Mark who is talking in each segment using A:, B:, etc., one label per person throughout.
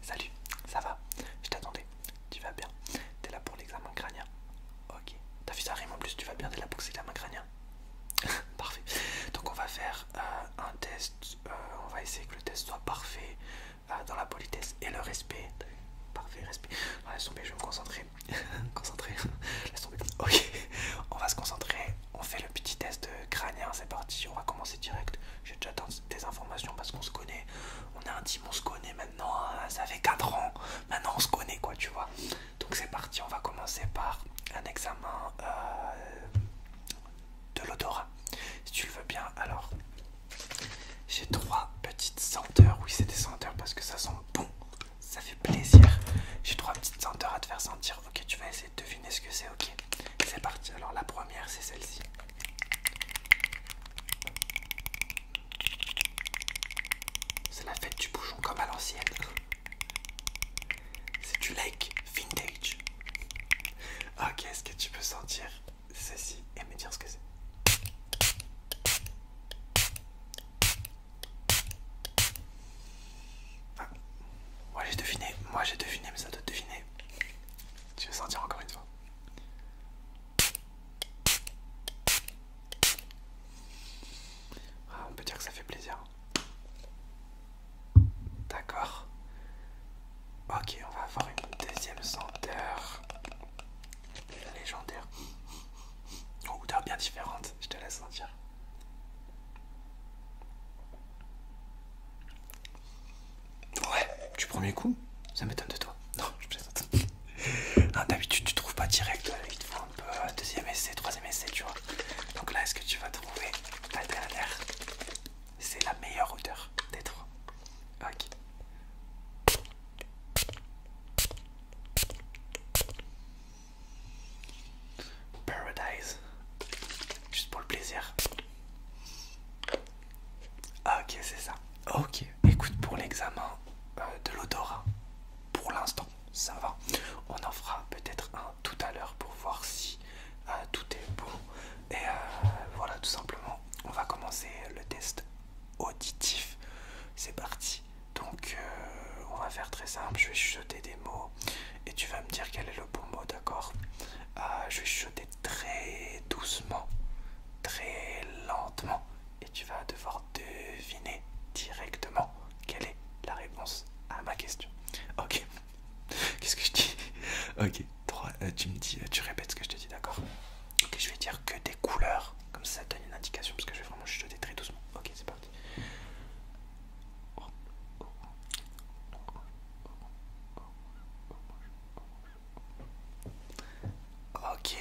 A: Salut, ça va Je t'attendais. Tu vas bien T'es là pour l'examen crânien Ok. T'as vu ça rime en plus, tu vas bien, t'es là pour l'examen crânien Parfait. Donc on va faire euh, un test, euh, on va essayer que le test soit parfait euh, dans la politesse et le respect. Parfait, respect. laisse tomber, je vais me concentrer. concentrer. Laisse tomber. Ok. On va se concentrer. On fait le petit test crânien, c'est parti. On va commencer direct. J'ai déjà des informations parce qu'on se connaît, on est intime, on se connaît maintenant, hein, ça fait 4 ans, maintenant on se connaît quoi, tu vois. Donc c'est parti, on va commencer par un examen euh, de l'odorat, si tu le veux bien. Alors, j'ai trois petites senteurs, oui c'est des senteurs parce que ça sent bon, ça fait plaisir. J'ai trois petites senteurs à te faire sentir, ok, tu vas essayer de deviner ce que c'est, ok. C'est parti, alors la première c'est celle-ci. C'est la fête du bouchon comme à l'ancienne. C'est du like vintage. Ok, ah, est-ce que tu peux sentir ceci et me dire ce que c'est Moi j'ai deviné, moi j'ai deviné, mais ça doit deviner. Tu veux sentir encore une fois ah, On peut dire que ça fait plaisir. D'accord. Ok, on va avoir une deuxième senteur légendaire. Une oh, odeur bien différente, je te laisse sentir. Ouais, du premier coup, ça m'étonne de toi. Non, je plaisante. d'habitude, tu trouves pas direct. Euh, il te faut un peu euh, deuxième essai, troisième essai, tu vois. Donc là, est-ce que tu vas trouver la C'est la meilleure hauteur des trois. Ok. Paradise. Juste pour le plaisir. Ah, ok, c'est ça. Ok, écoute, pour l'examen euh, de l'odorat, pour l'instant, ça va. On en fera peut-être un tout à l'heure pour voir si euh, tout est bon. Et euh, voilà, tout simplement, on va commencer le test auditif. C'est parti. Donc, on va faire très simple. Je vais chuchoter des mots et tu vas me dire quel est le bon mot, d'accord Je vais chuchoter très doucement, très lentement, et tu vas devoir deviner directement quelle est la réponse à ma question. Ok. Qu'est-ce que je dis Ok. 3, euh, tu me dis, euh, tu répètes ce que je te dis, d'accord Ok, je vais dire que des couleurs, comme ça, ça donne une indication parce que je vais vraiment chuchoter très doucement. Ok, c'est parti. Ok.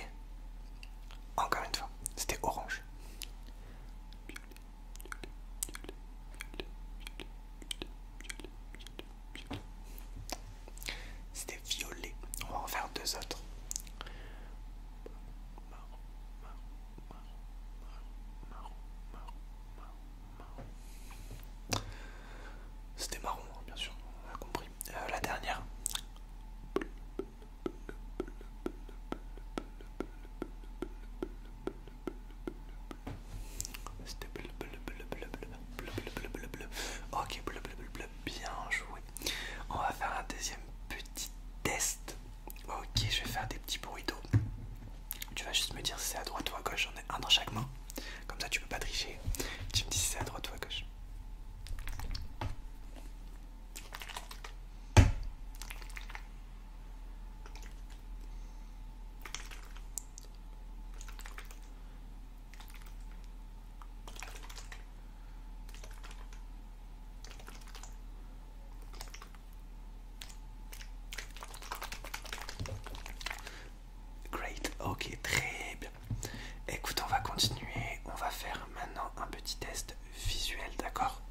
A: Encore une fois, c'était orange. C'était violet. On va en faire deux autres. C'était marron, bien sûr, a compris. la dernière. C'était Ok, bien joué. On va faire un deuxième petit test. Ok, je vais faire des petits bruits d'eau. Tu vas juste me dire si c'est à droite ou à gauche un dans chaque main. Comme ça, tu peux pas tricher. Tu me dis si c'est à droite ou à gauche. Great, ok, très bien. Écoute, on va continuer. On va faire maintenant un petit test visuel, d'accord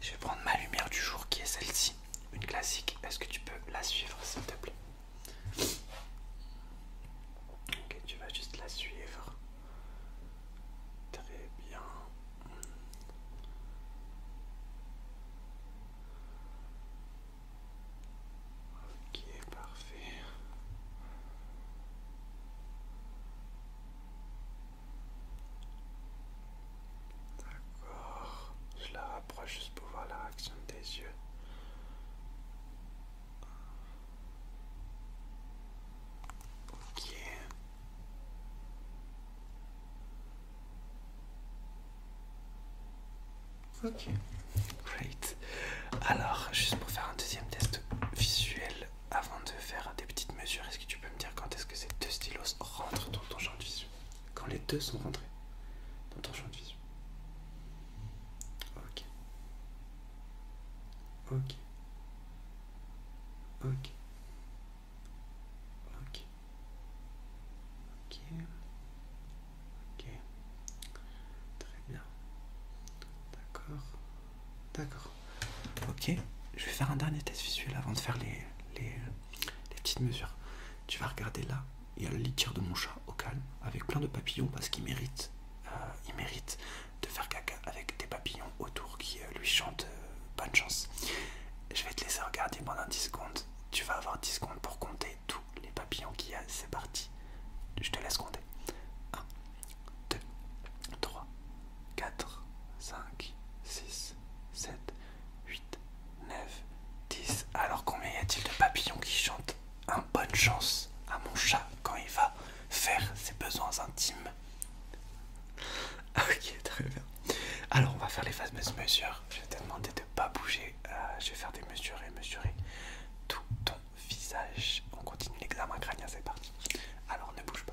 A: Je vais prendre ma lumière du jour qui est celle-ci, une classique. Est-ce que tu peux la suivre, s'il te plaît Ok, tu vas juste la suivre. Très bien. Ok, parfait. D'accord. Je la rapproche juste pour voir la réaction des yeux. Ok. Ok, great. Alors, juste pour faire un deuxième test visuel, avant de faire des petites mesures, est-ce que tu peux me dire quand est-ce que ces deux stylos rentrent dans ton champ de vision Quand les deux sont rentrés dans ton champ de vision. Ok. Ok. Ok. Ok. Ok. Ok. Très bien. D'accord. D'accord. Ok. Je vais faire un dernier test visuel avant de faire les, petites mesures. Tu vas regarder là. Il y a le litière de mon chat au calme avec plein de papillons parce qu'il mérite, euh, il mérite de faire caca avec des papillons autour qui euh, lui chantent euh, bonne chance. Je vais te laisser regarder pendant 10 secondes tu vas avoir 10 secondes pour compter tous les papillons qu'il y a. C'est parti. Je te laisse compter. 1, 2, 3, 4, 5, 6, 7, 8, 9, 10. Alors combien y a-t-il de papillons qui chantent un bonne chance à mon chat quand il va faire ses besoins intimes Ok, très bien. Alors on va faire les fameuses mesures je vais te demander de pas bouger. Euh, je vais faire des mesures et mesurer tout ton visage. On continue l'examen crânien, c'est parti. Alors ne bouge pas.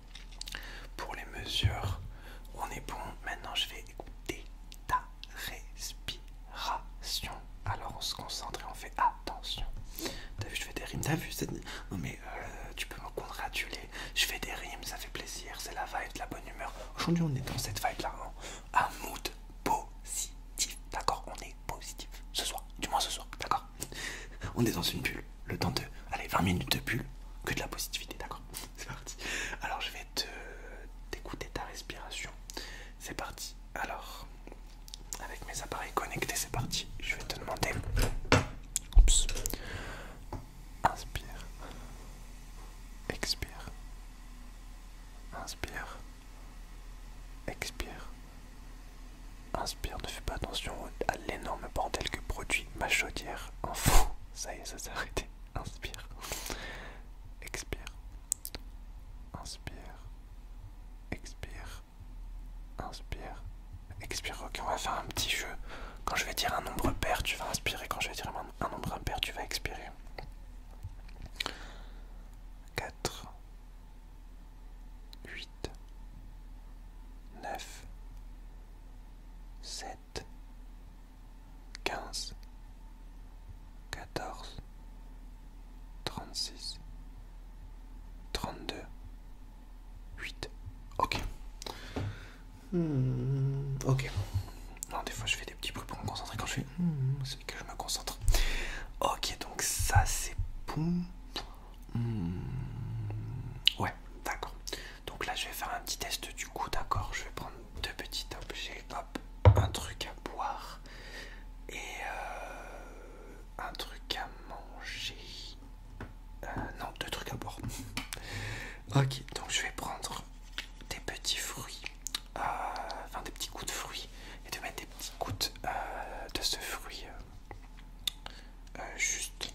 A: Pour les mesures, on est bon. Maintenant, je vais écouter ta respiration. Alors, on se concentre et on fait attention. T'as vu, je fais des rimes. T'as vu Non, mais euh, tu peux me congratuler. Je fais des rimes, ça fait plaisir. C'est la vibe, de la bonne humeur. Aujourd'hui, on est dans cette vibe-là. Hein. Un mood positif. D'accord On est positif. Ce soir. Du moins, ce soir. D'accord On est dans une bulle, le temps de. Allez, 20 minutes de bulle, que de la positivité, d'accord C'est parti. Alors, je vais te t'écouter ta respiration. C'est parti. Alors, avec mes appareils connectés, c'est parti. Je vais te demander. Oups. Inspire. Expire. Inspire. Expire. Inspire, ne fais pas attention à l'énorme bordel que produit ma chaudière. fou. ça y est, ça s'est arrêté. Inspire. Expire. Inspire. Expire. Inspire. Expire. Ok, on va faire un petit jeu. Quand je vais dire un nombre pair, tu vas inspirer. Quand je vais dire un nombre impair, tu vas expirer. 4 8, 9, 7, 15, 14, 36, 32, 8. Ok. Hmm, ok. Non, des fois je fais des petits bruits pour me concentrer quand je fais... Hmm, c'est que je me concentre. Ok, donc ça c'est bon. Hmm. Ouais, d'accord. Donc là, je vais faire un petit test du coup, d'accord. Je vais prendre deux petits objets. Hop, un truc à boire et euh, un truc à manger. Euh, non, deux trucs à boire. ok, donc je vais prendre des petits fruits, euh, enfin des petits coups de fruits et de mettre des petits gouttes de ce fruit euh, juste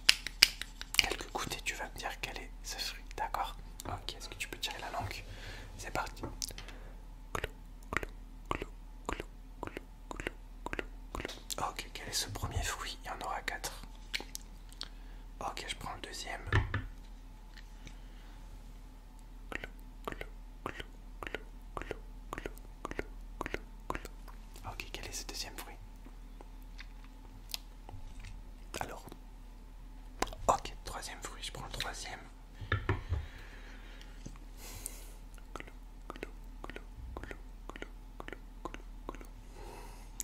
A: quelques coups et tu vas me dire quel est ce fruit, d'accord Ok, est-ce que tu peux tirer la langue C'est parti. Ok, quel est ce premier fruit Il y en aura 4. Ok, je prends le deuxième. Ok, quel est ce deuxième fruit Alors. Ok, troisième fruit, je prends le troisième.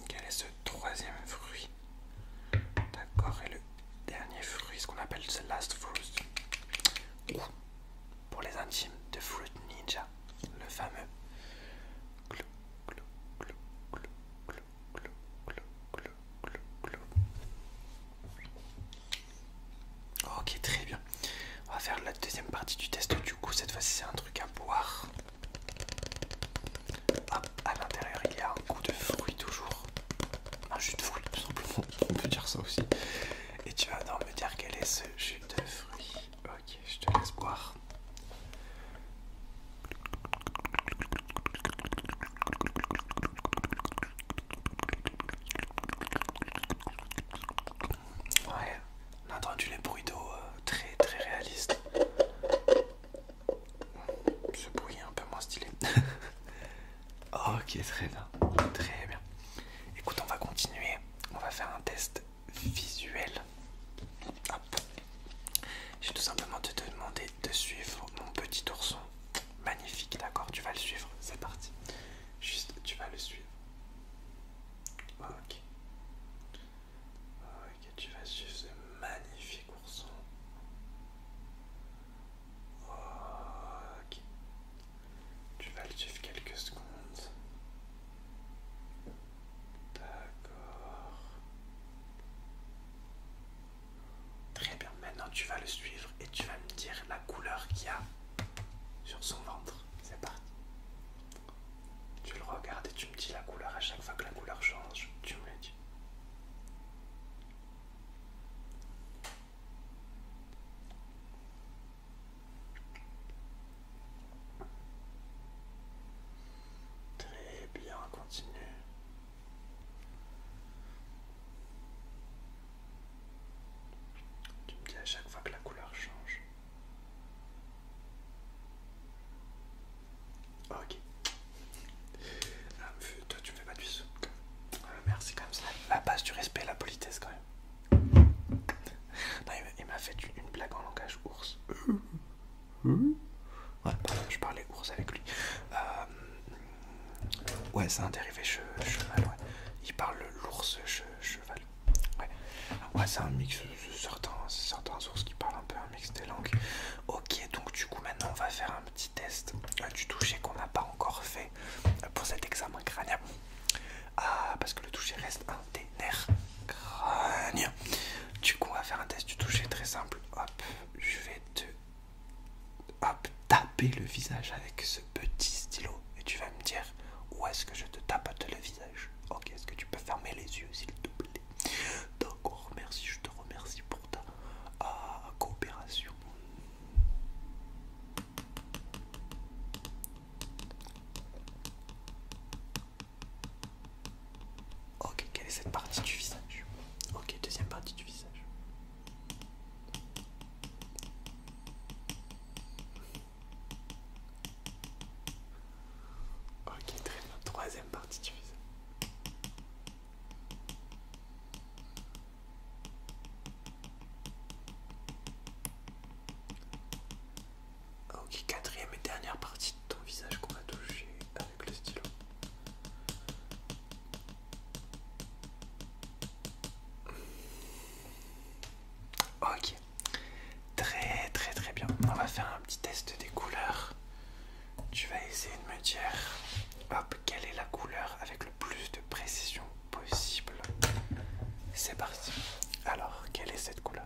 A: Quel est ce troisième fruit D'accord, et le dernier fruit, ce qu'on appelle the last fruit. Pour les intimes de Fruit Ninja le fameux Ok, très bien. On va faire la deuxième partie du test. Du coup, cette fois-ci, c'est un truc à boire. à l'intérieur, il y a un goût de fruit toujours. Un jus de fruit, tout simplement. On peut dire ça aussi. Et tu vas donc me dire quel est ce jus de fruit. Ok, je te laisse boire. Ouais, on a entendu les bruits d'eau euh, très très réalistes. Ce bruit est un peu moins stylé. ok, très bien. Très bien. Écoute, on va continuer. On va faire un test visuel. Hop. Ah Je vais tout simplement te demander de suivre mon petit ourson. Magnifique, d'accord Tu vas le suivre, c'est parti. Juste, tu vas le suivre. Ok. Ok, tu vas suivre ce magnifique ourson. Ok. Tu vas le suivre quelques secondes. D'accord. Très bien, maintenant tu vas le suivre et tu vas me dire la couleur qu'il y a sur son ventre. C'est parti. Tu le regardes et tu me dis la couleur à chaque fois que la couleur change, tu me le dis. Très bien, continue. Tu me dis à chaque fois que la couleur change. Ok. Ah, toi, tu me fais pas du sou. merci quand même, la base du respect et la politesse quand même il m'a fait une blague en langage ours. Ouais, je parlais ours avec lui. Euh, ouais, c'est un dérivé cheval. Il parle l'ours cheval. Ouais, c'est un mix. Euh, certains, certains ours qui parlent un peu un mix des langues. Ok, donc du coup, maintenant on va faire un petit test euh, du toucher qu'on n'a pas encore fait pour cet examen crânien. Ah, parce que le toucher reste un des Du coup, on va faire un test du toucher très simple. Hop, je vais te taper le visage avec ce petit stylo et tu vas me dire où est-ce que je te tapote le visage. Ok, est-ce que tu peux fermer les yeux s'il te plaît D'accord, merci, je te remercie pour ta ah, coopération. Ok, quelle est cette partie du visage Ok, deuxième partie du visage. Ok, très bien, troisième partie du visage. Ok, quatrième et dernière partie de ton visage qu'on va toucher avec le stylo. Ok, très très très bien. On va faire un petit test des couleurs. Tu vas essayer de me dire, hop, quelle est la couleur avec le plus de précision possible. C'est parti. Alors, quelle est cette couleur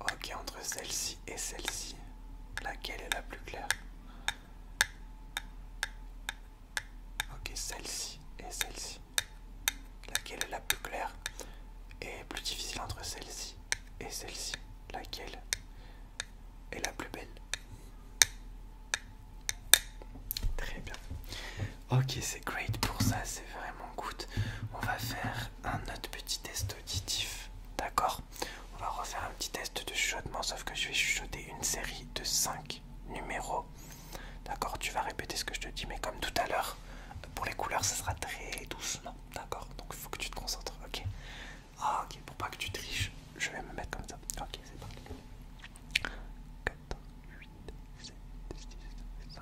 A: Ok, entre celle-ci et celle-ci, laquelle est la plus claire Ok, celle-ci et celle-ci. Laquelle est la plus claire Et plus difficile entre celle-ci et celle-ci. Laquelle est la plus belle Très bien. Ok, c'est great pour ça, c'est vraiment good. On va faire un autre petit test D'accord On va refaire un petit test de chuchotement, sauf que je vais chuchoter une série de 5 numéros. D'accord Tu vas répéter ce que je te dis, mais comme tout à l'heure, pour les couleurs, ça sera très doucement. D'accord Donc il faut que tu te concentres. Ok. Ah, ok, pour pas que tu triches, je vais me mettre comme ça. Ok, c'est parti. 4, 8, 7,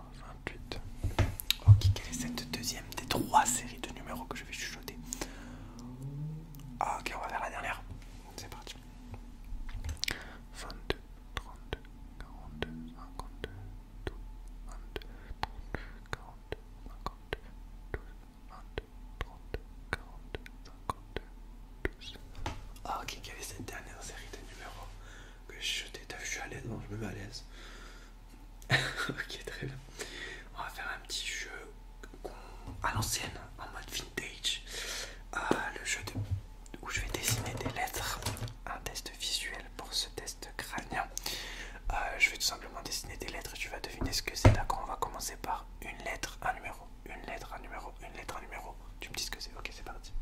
A: 28. Ok, quelle est cette deuxième des trois séries de numéros que je vais chuchoter Ok, on va faire la dernière. C'est parti. 22, 32, 42, 52, 12, 22, 32, 42, 52, 12, 22, 32, 42, 52, 12. Ok, quelle est cette dernière série de numéros que je chuchotais je suis à l'aise, non, je me mets à l'aise. ok, très bien. On va faire un petit jeu à l'ancienne, en mode vintage. Euh, le jeu de... où je vais dessiner des lettres. Un test visuel pour ce test crânien. Euh, je vais tout simplement dessiner des lettres et tu vas deviner ce que c'est. D'accord, on va commencer par une lettre, un numéro, une lettre, un numéro, une lettre, un numéro. Tu me dis ce que c'est. Ok, c'est parti.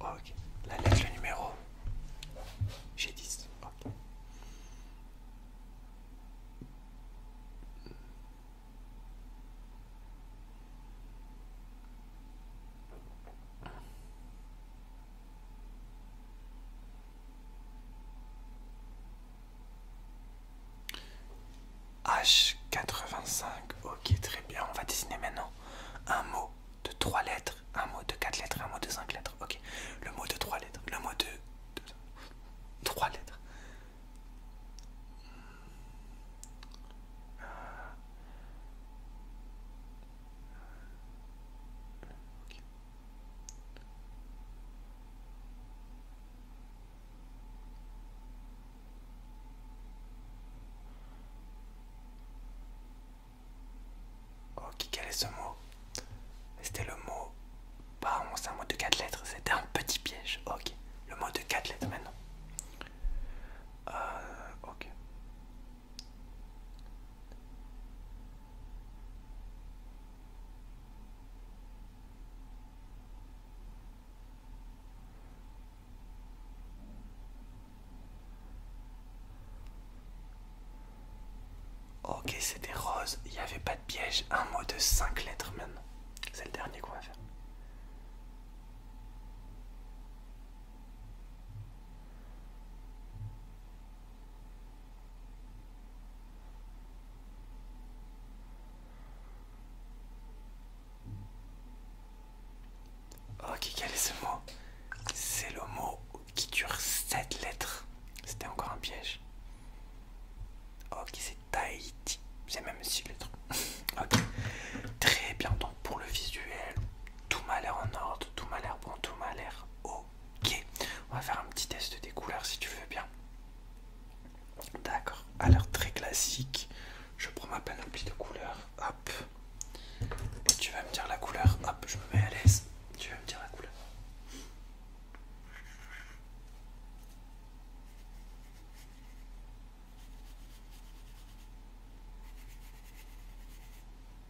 A: Ok, la lettre, numéro. J'ai 10. H85, ok très bien, on va dessiner maintenant un mot de 3 lettres, un mot de 4 lettres, un mot de 5 lettres, ok. Le mot de 3 lettres, le mot de, 3 lettres. Ok Ok, oh, quel est ce mot C'était le mot. Bah, c'est un mot de quatre lettres. C'était un petit piège. Ok, le mot de quatre lettres maintenant. Euh, ok. Ok, c'était rose, il n'y avait pas de piège, un mot de 5 lettres maintenant. C'est le dernier qu'on va faire. Ok, oh, quel est ce mot C'est le mot qui dure 7 lettres. C'était encore un piège. Ok, oh, c'est Tahiti. C'est même 6 lettres. ok. Très bien, donc pour le visuel, tout m'a l'air en ordre, tout m'a l'air bon, tout m'a l'air haut Ok, on va faire un petit test des couleurs si tu veux bien. D'accord, à l'air très classique, je prends ma panoplie de couleurs, hop, tu vas me dire la couleur, hop, je me mets à l'aise, tu vas me dire la couleur.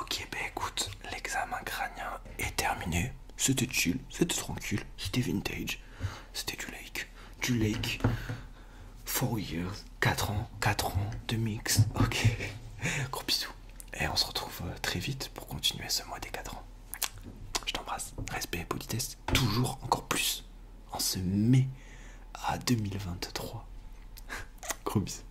A: Ok. bah écoute, l'examen crânien est terminé. C'était chill, c'était tranquille, c'était vintage, c'était du lake, du lake. 4 years, ans, 4 ans de mix. Ok, gros bisous. Et on se retrouve euh, très vite pour continuer ce mois des 4 ans. Je t'embrasse. Respect et politesse, toujours encore plus. En ce mai à 2023. Gros bisous.